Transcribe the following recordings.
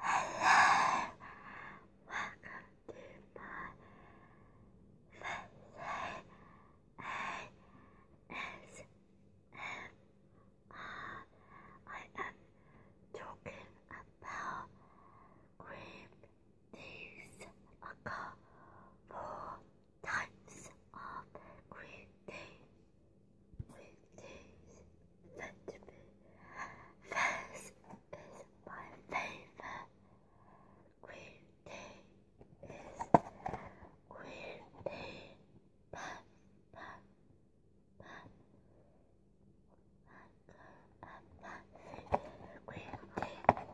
Hello, welcome to my Thursday am talking about green teas. I got four times of great days, great days, Benjamin. This is my favorite. Green day is green day. Pat,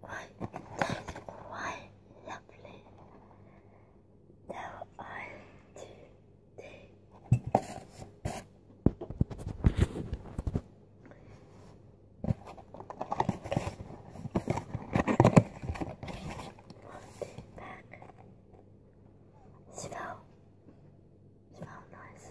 Why, that's quite lovely. Now I'll do this. back. Smell. Smell nice.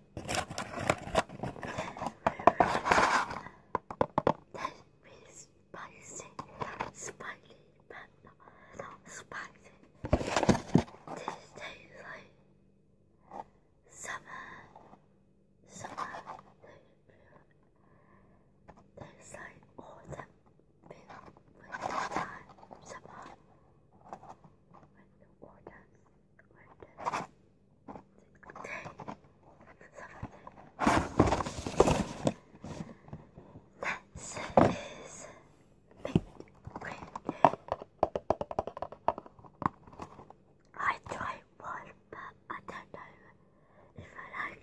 That is spicy, spicy, but not, spicy. This tastes like summer, summer. Tastes like autumn, winter time, summer, winter, autumn. Six, this is pink I tried one, but I don't know if I like it.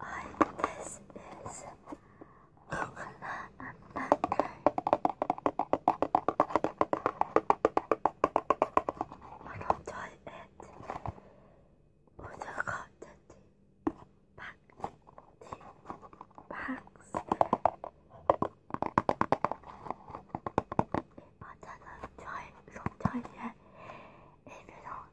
I. this is I don't try it with the cotton tea back tea bags. But I don't try it, do not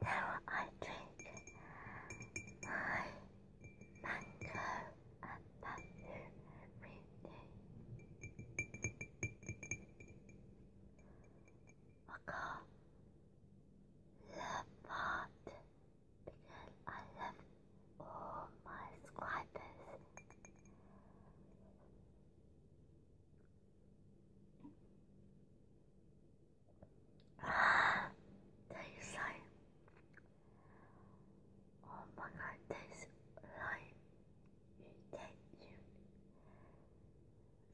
Now I drink my mango and bamboo every day. I call the pot because I love all my subscribers. Ah, Oh my god, tastes like eating.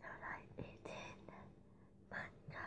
You like eating manga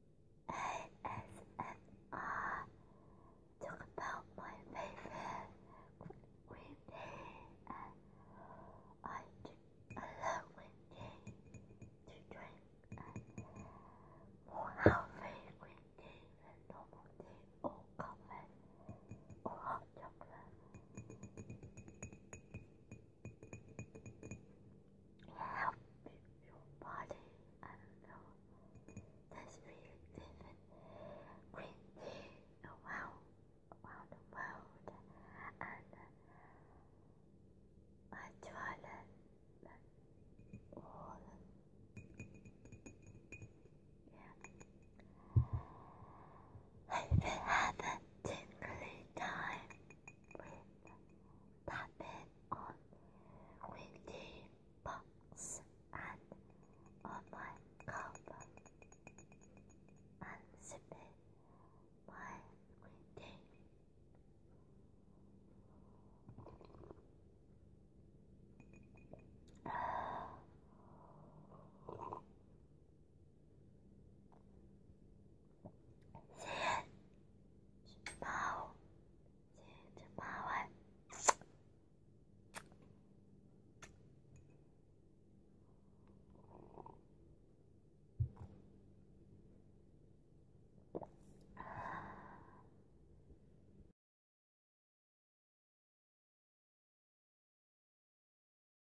ASMR talk about my favorite green tea and I, I love green to drink more healthy green tea than tea or coffee or hot chocolate help your body unload this really different green tea around, around the world and uh, I try that, yeah have been tingly time with Batman on weekday box and on cover and submit my weekday. 先吃饱，先吃饱哎。